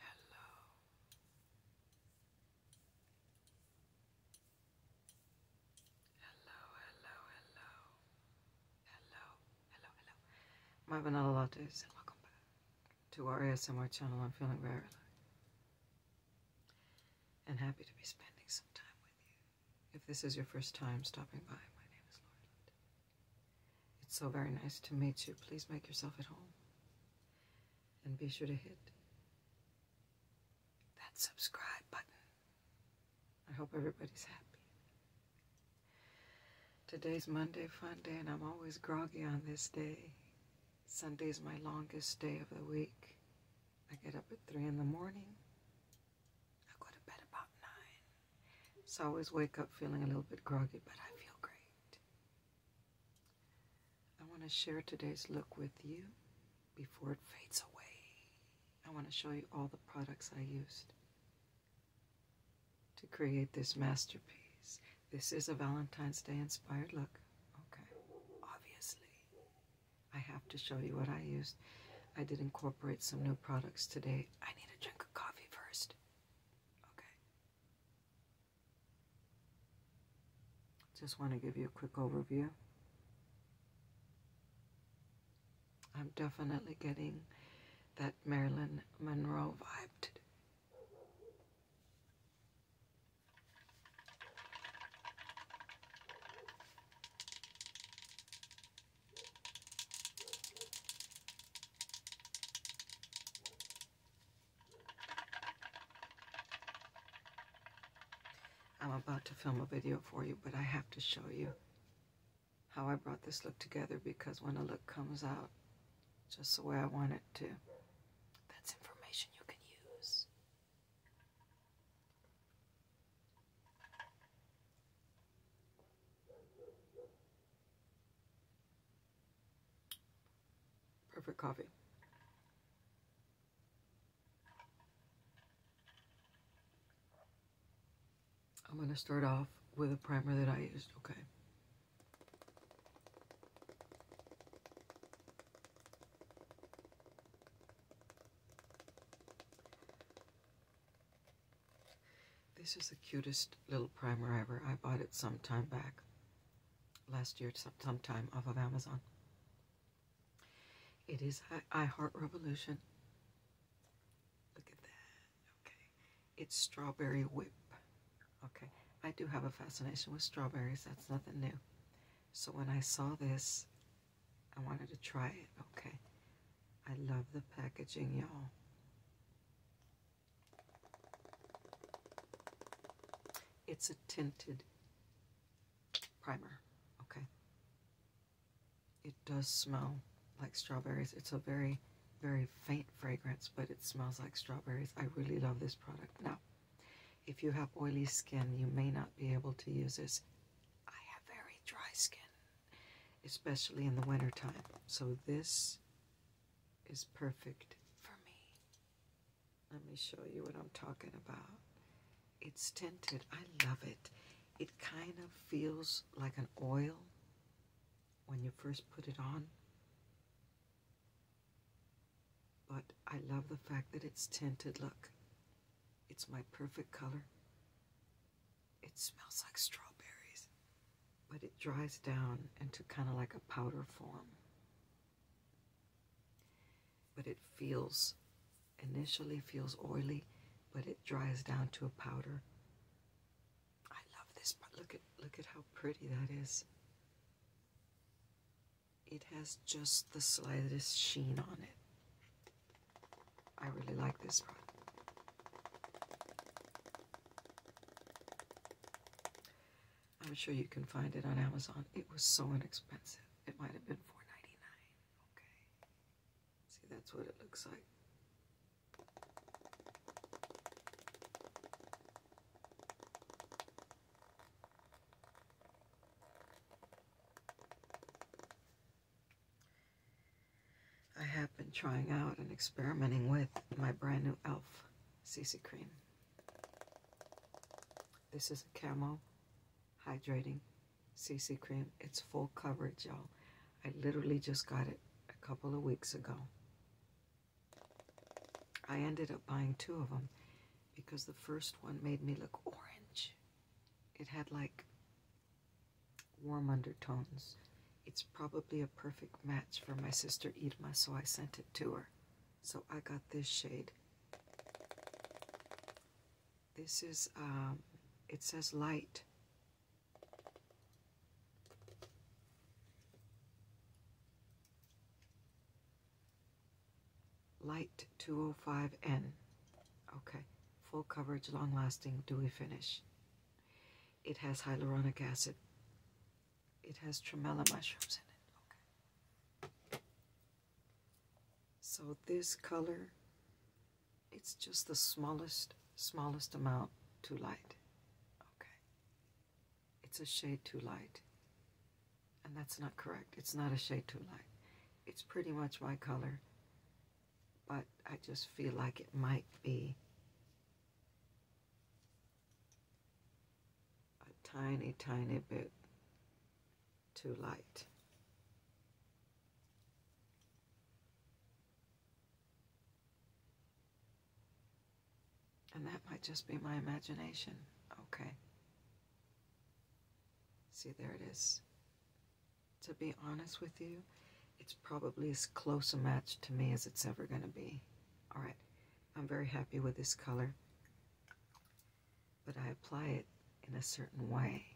Hello. Hello, hello, hello. Hello, hello, hello. My vanilla lattes and welcome back to our ASMR channel. I'm feeling very and happy to be spending some time with you. If this is your first time stopping by, my name is Lorland. It's so very nice to meet you. Please make yourself at home. And be sure to hit that subscribe button. I hope everybody's happy. Today's Monday fun day, and I'm always groggy on this day. Sunday's my longest day of the week. I get up at three in the morning. I go to bed about nine. So I always wake up feeling a little bit groggy, but I feel great. I want to share today's look with you before it fades away. I want to show you all the products I used to create this masterpiece. This is a Valentine's Day inspired look. Okay, obviously. I have to show you what I used. I did incorporate some new products today. I need a drink of coffee first. Okay. Just want to give you a quick overview. I'm definitely getting that Marilyn Monroe vibe today. I'm about to film a video for you, but I have to show you how I brought this look together because when a look comes out just the way I want it to, that's information you can use. Perfect coffee. I'm going to start off with a primer that I used, okay? This is the cutest little primer ever. I bought it some time back. Last year, sometime off of Amazon. It is I, Heart Revolution. Look at that. Okay. It's Strawberry Whip. Okay. I do have a fascination with strawberries. That's nothing new. So when I saw this, I wanted to try it. Okay. I love the packaging, y'all. It's a tinted primer. Okay. It does smell like strawberries. It's a very, very faint fragrance, but it smells like strawberries. I really love this product. Now, if you have oily skin, you may not be able to use this. I have very dry skin, especially in the wintertime. So this is perfect for me. Let me show you what I'm talking about. It's tinted. I love it. It kind of feels like an oil when you first put it on. But I love the fact that it's tinted. Look, it's my perfect color. It smells like strawberries, but it dries down into kind of like a powder form. But it feels, initially feels oily, but it dries down to a powder. I love this, but look at look at how pretty that is it has just the slightest sheen on it. I really like this product. I'm sure you can find it on Amazon. It was so inexpensive. It might have been $4.99. Okay. See, that's what it looks like. I have been trying out and experimenting with my brand new e.l.f. CC cream. This is a camo hydrating CC cream. It's full coverage, y'all. I literally just got it a couple of weeks ago. I ended up buying two of them because the first one made me look orange. It had like warm undertones. It's probably a perfect match for my sister Irma, so I sent it to her. So I got this shade. This is, um, it says light. Light 205N. Okay, full coverage, long lasting, dewy finish. It has hyaluronic acid. It has tramella mushrooms in it. Okay. So this color, it's just the smallest, smallest amount too light. Okay. It's a shade too light and that's not correct. It's not a shade too light. It's pretty much my color, but I just feel like it might be a tiny, tiny bit too light. And that might just be my imagination. Okay. See, there it is. To be honest with you, it's probably as close a match to me as it's ever going to be. All right. I'm very happy with this color. But I apply it in a certain way.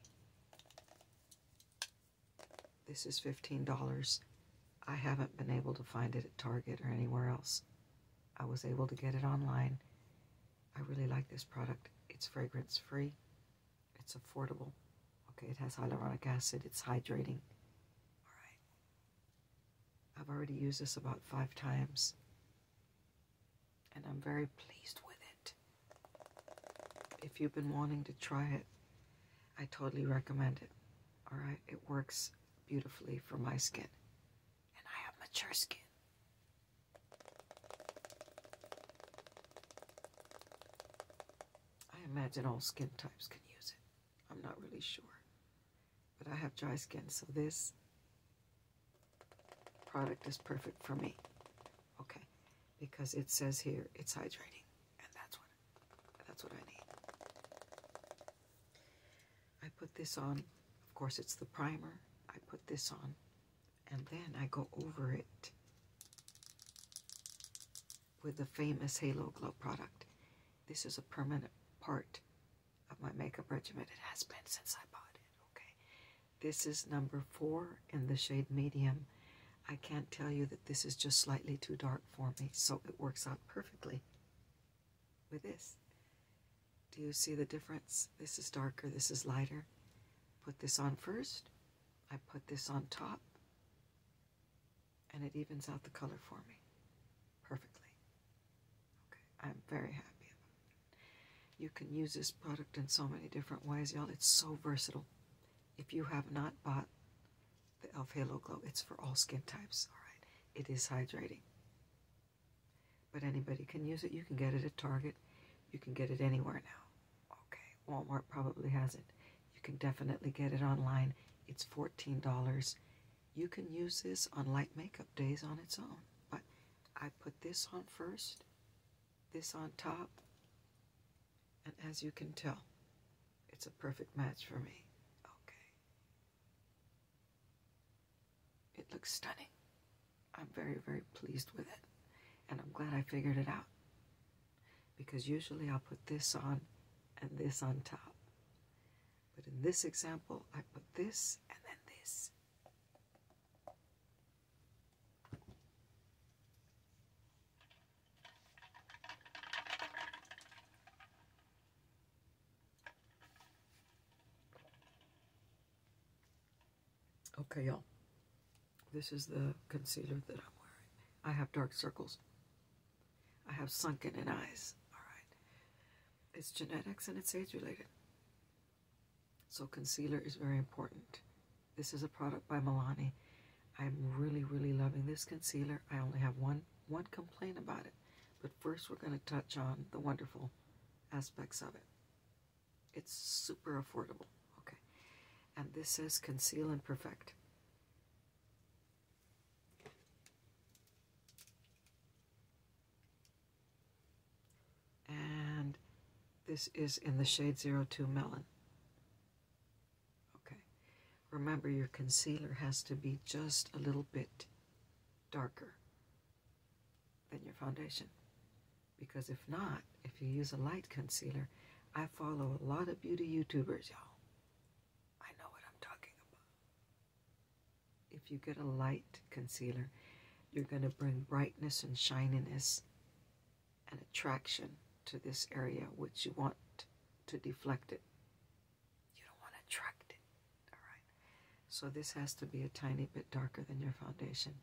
This is $15. I haven't been able to find it at Target or anywhere else. I was able to get it online. I really like this product. It's fragrance free, it's affordable. Okay, it has hyaluronic acid, it's hydrating. All right. I've already used this about five times, and I'm very pleased with it. If you've been wanting to try it, I totally recommend it. All right, it works beautifully for my skin and I have mature skin. I imagine all skin types can use it. I'm not really sure. But I have dry skin, so this product is perfect for me. Okay, because it says here it's hydrating, and that's what that's what I need. I put this on. Of course, it's the primer. I put this on, and then I go over it with the famous Halo Glow product. This is a permanent part of my makeup regimen. It has been since I bought it, okay? This is number four in the shade medium. I can't tell you that this is just slightly too dark for me, so it works out perfectly with this. Do you see the difference? This is darker, this is lighter. Put this on first. I put this on top. And it evens out the color for me perfectly. Okay, I'm very happy You can use this product in so many different ways, y'all. It's so versatile. If you have not bought the e.l.f. Halo Glow, it's for all skin types, all right? It is hydrating. But anybody can use it. You can get it at Target. You can get it anywhere now. Okay, Walmart probably has it. You can definitely get it online. It's $14. You can use this on light makeup days on its own. But I put this on first, this on top, and as you can tell, it's a perfect match for me. Okay. It looks stunning. I'm very, very pleased with it. And I'm glad I figured it out. Because usually I'll put this on and this on top. But in this example, I put this and then this. Okay, y'all. This is the concealer that I'm wearing. I have dark circles. I have sunken in eyes. All right. It's genetics and it's age related. So concealer is very important. This is a product by Milani. I'm really, really loving this concealer. I only have one one complaint about it. But first, we're going to touch on the wonderful aspects of it. It's super affordable. Okay. And this says Conceal and Perfect. And this is in the shade 02 Melon. Okay. Remember, your concealer has to be just a little bit darker than your foundation. Because if not, if you use a light concealer, I follow a lot of beauty YouTubers, y'all. I know what I'm talking about. If you get a light concealer, you're going to bring brightness and shininess and attraction to this area, which you want to deflect it you don't want to attract it. Alright. So this has to be a tiny bit darker than your foundation.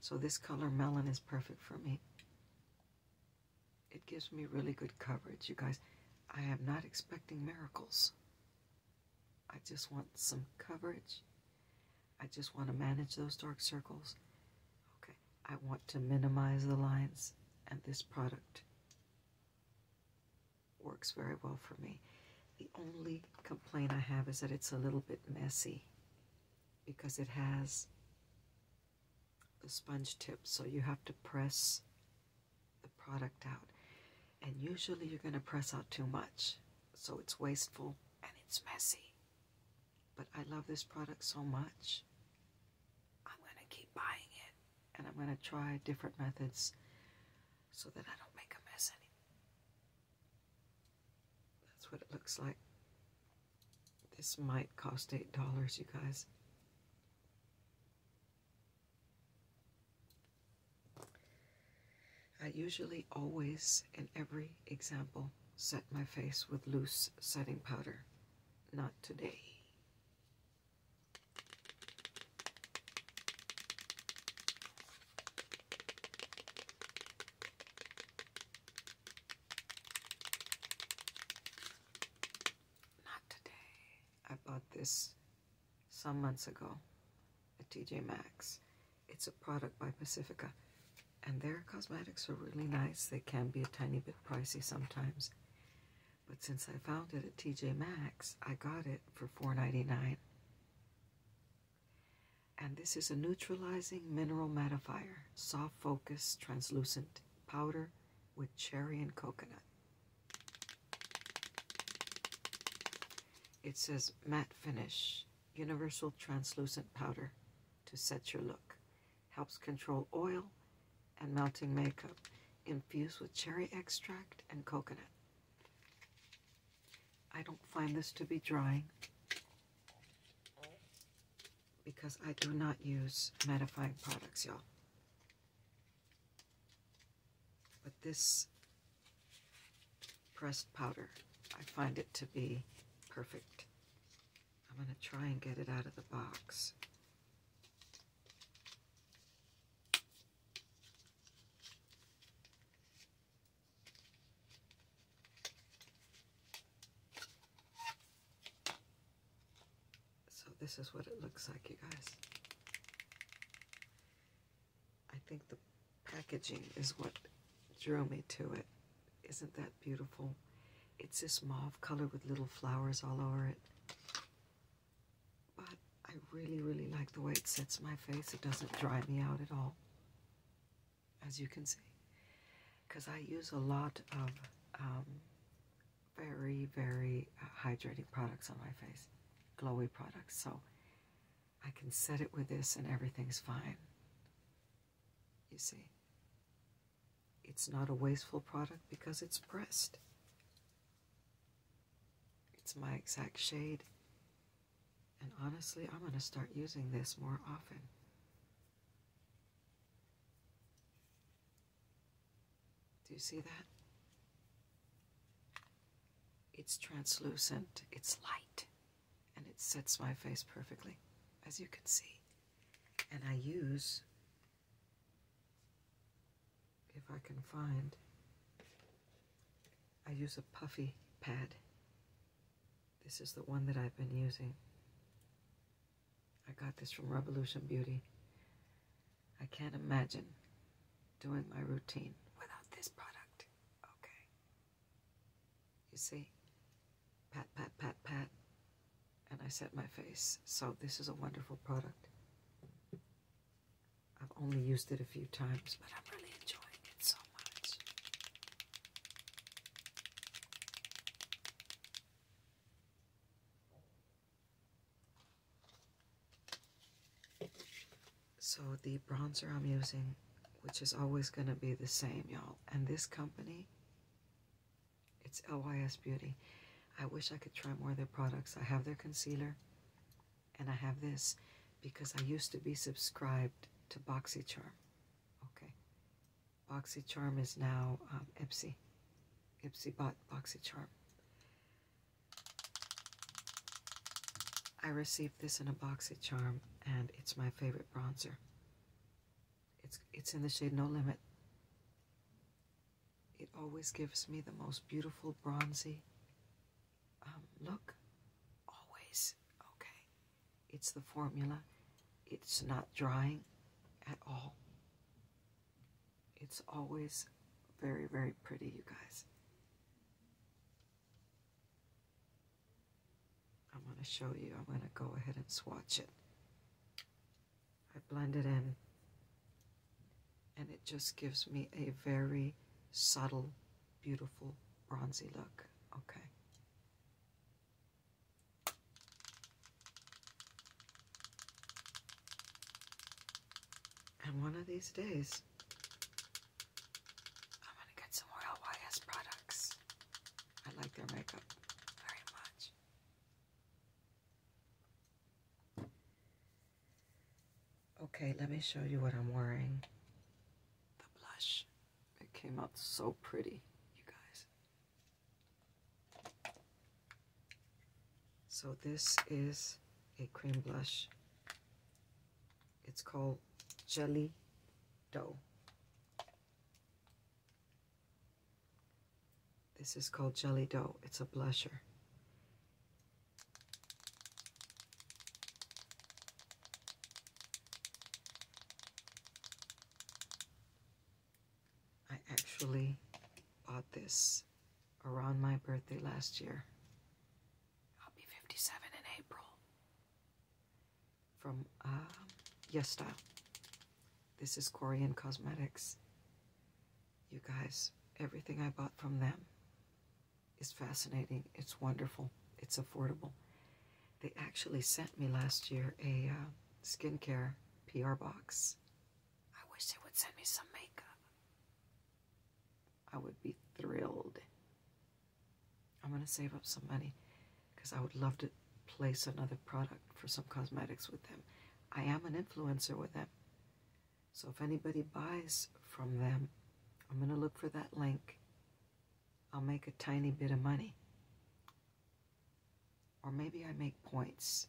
So this color melon is perfect for me. It gives me really good coverage, you guys. I am not expecting miracles. I just want some coverage. I just want to manage those dark circles. Okay, I want to minimize the lines and this product works very well for me. The only complaint I have is that it's a little bit messy because it has the sponge tip, so you have to press the product out. And usually you're going to press out too much, so it's wasteful and it's messy. But I love this product so much, I'm going to keep buying it and I'm going to try different methods so that I don't make a mess anymore. That's what it looks like. This might cost $8, you guys. I usually always, in every example, set my face with loose setting powder. Not today. Not today. I bought this some months ago at TJ Maxx. It's a product by Pacifica. And their cosmetics are really nice. They can be a tiny bit pricey sometimes. But since I found it at TJ Maxx, I got it for $4.99. And this is a neutralizing mineral mattifier, soft focus, translucent powder with cherry and coconut. It says matte finish, universal translucent powder to set your look. Helps control oil and melting makeup infused with cherry extract and coconut. I don't find this to be drying because I do not use mattifying products, y'all. But this pressed powder, I find it to be perfect. I'm going to try and get it out of the box. So this is what it looks like, you guys. I think the packaging is what drew me to it. Isn't that beautiful? It's this mauve color with little flowers all over it. But I really, really like the way it sets my face. It doesn't dry me out at all, as you can see. Because I use a lot of um, very, very uh, hydrating products on my face, glowy products. So I can set it with this and everything's fine. You see? It's not a wasteful product because it's pressed. It's my exact shade. And honestly, I'm going to start using this more often. Do you see that? It's translucent, it's light, and it sets my face perfectly, as you can see. And I use if I can find. I use a puffy pad. This is the one that I've been using. I got this from Revolution Beauty. I can't imagine doing my routine without this product. Okay. You see? Pat, pat, pat, pat and I set my face. So this is a wonderful product. I've only used it a few times, but I'm really enjoying it so much. So the bronzer I'm using, which is always going to be the same, y'all, and this company it's LYS Beauty. I wish I could try more of their products. I have their concealer and I have this because I used to be subscribed to BoxyCharm. Okay. BoxyCharm is now um, Ipsy. Ipsy bought BoxyCharm. I received this in a BoxyCharm and it's my favorite bronzer. It's, it's in the shade No Limit. It always gives me the most beautiful bronzy um, look. Always. Okay. It's the formula. It's not drying at all. It's always very, very pretty, you guys. I'm going to show you. I'm going to go ahead and swatch it. I blend it in. And it just gives me a very subtle, beautiful, bronzy look. Okay. And one of these days, I'm going to get some more LYS products. I like their makeup very much. Okay, let me show you what I'm wearing. The blush. It came out so pretty, you guys. So this is a cream blush. It's called Jelly Dough. This is called Jelly Dough. It's a blusher. I actually bought this around my birthday last year. I'll be 57 in April. From uh, Yes Style. This is Korean Cosmetics. You guys, everything I bought from them is fascinating. It's wonderful. It's affordable. They actually sent me last year a uh, skincare PR box. I wish they would send me some makeup. I would be thrilled. I'm going to save up some money because I would love to place another product for some cosmetics with them. I am an influencer with them. So if anybody buys from them, I'm going to look for that link. I'll make a tiny bit of money. Or maybe I make points.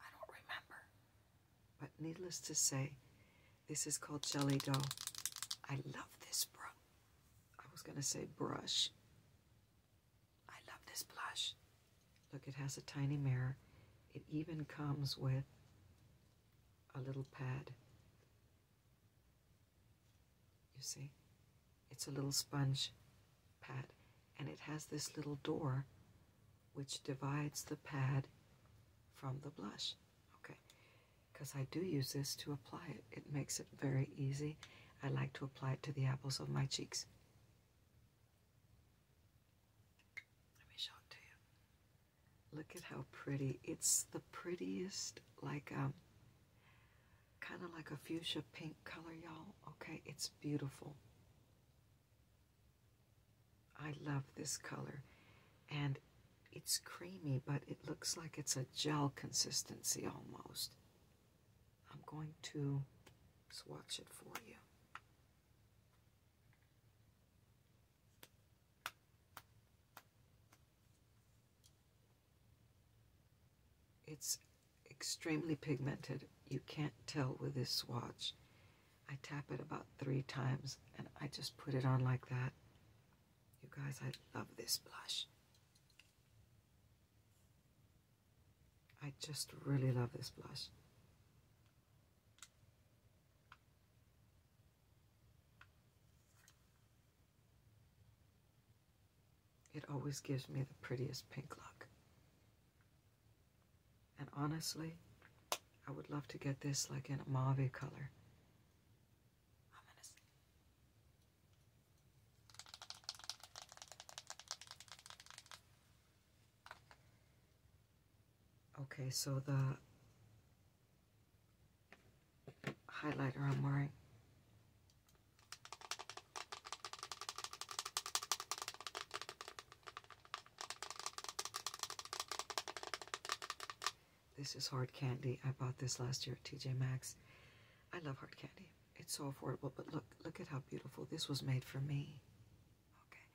I don't remember. But needless to say, this is called Jelly Dough. I love this brush. I was going to say brush. I love this blush. Look, it has a tiny mirror. It even comes with a little pad. You see? It's a little sponge pad. And it has this little door which divides the pad from the blush. Okay. Because I do use this to apply it. It makes it very easy. I like to apply it to the apples of my cheeks. Let me show it to you. Look at how pretty. It's the prettiest, like um kind of like a fuchsia pink color, y'all. Okay, it's beautiful. I love this color. And it's creamy, but it looks like it's a gel consistency almost. I'm going to swatch it for you. It's extremely pigmented. You can't tell with this swatch. I tap it about three times and I just put it on like that. You guys, I love this blush. I just really love this blush. It always gives me the prettiest pink look. And honestly, I would love to get this like in a mauve color. Okay, so the highlighter I'm wearing This is hard candy. I bought this last year at TJ Maxx. I love hard candy. It's so affordable, but look, look at how beautiful. This was made for me. Okay.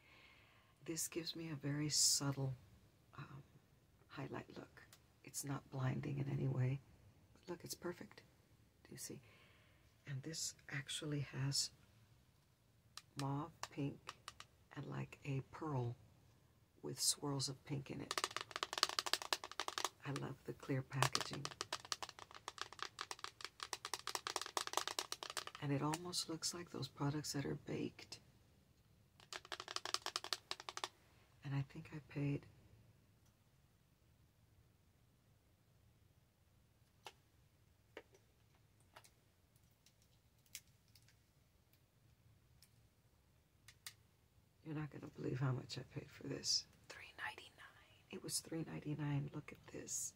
This gives me a very subtle um, highlight look. It's not blinding in any way. look, it's perfect. Do you see? And this actually has mauve, pink, and like a pearl with swirls of pink in it. I love the clear packaging. And it almost looks like those products that are baked. And I think I paid you're not gonna believe how much I paid for this. $3.99. It was $3.99. Look at this.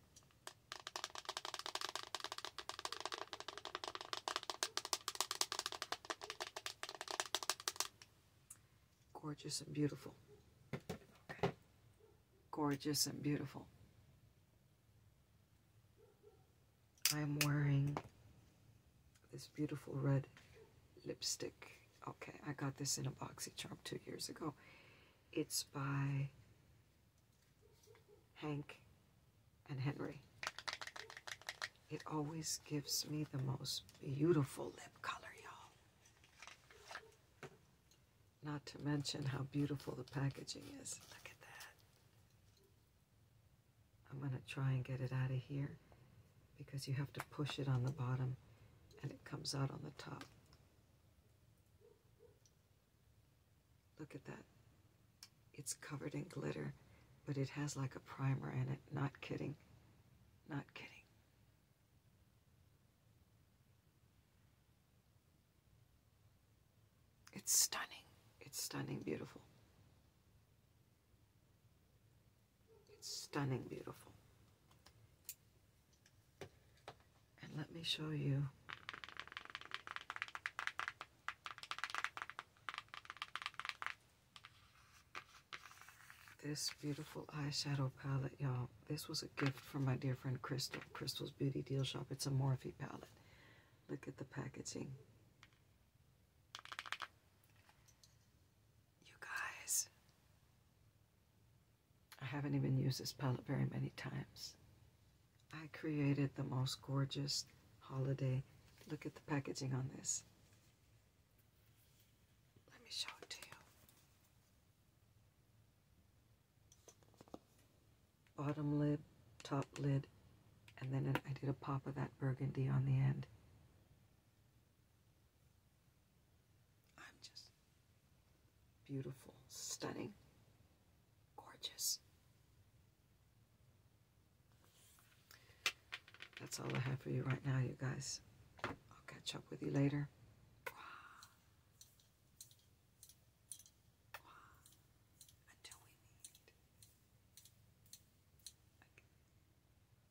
Gorgeous and beautiful. Gorgeous and beautiful. I am wearing this beautiful red lipstick. Okay, I got this in a BoxyCharm two years ago. It's by Hank and Henry. It always gives me the most beautiful lip color, y'all. Not to mention how beautiful the packaging is. Look at that. I'm going to try and get it out of here because you have to push it on the bottom and it comes out on the top. Look at that. It's covered in glitter, but it has like a primer in it. Not kidding. Not kidding. It's stunning. It's stunning, beautiful. It's stunning beautiful. And let me show you this beautiful eyeshadow palette, y'all. This was a gift from my dear friend Crystal, Crystal's Beauty Deal Shop. It's a Morphe palette. Look at the packaging. You guys. I haven't even used this palette very many times. I created the most gorgeous holiday. Look at the packaging on this. Let me show it to you. Bottom lid, top lid, and then I did a pop of that burgundy on the end. I'm just beautiful, stunning, gorgeous. That's all I have for you right now, you guys. I'll catch up with you later. Until we meet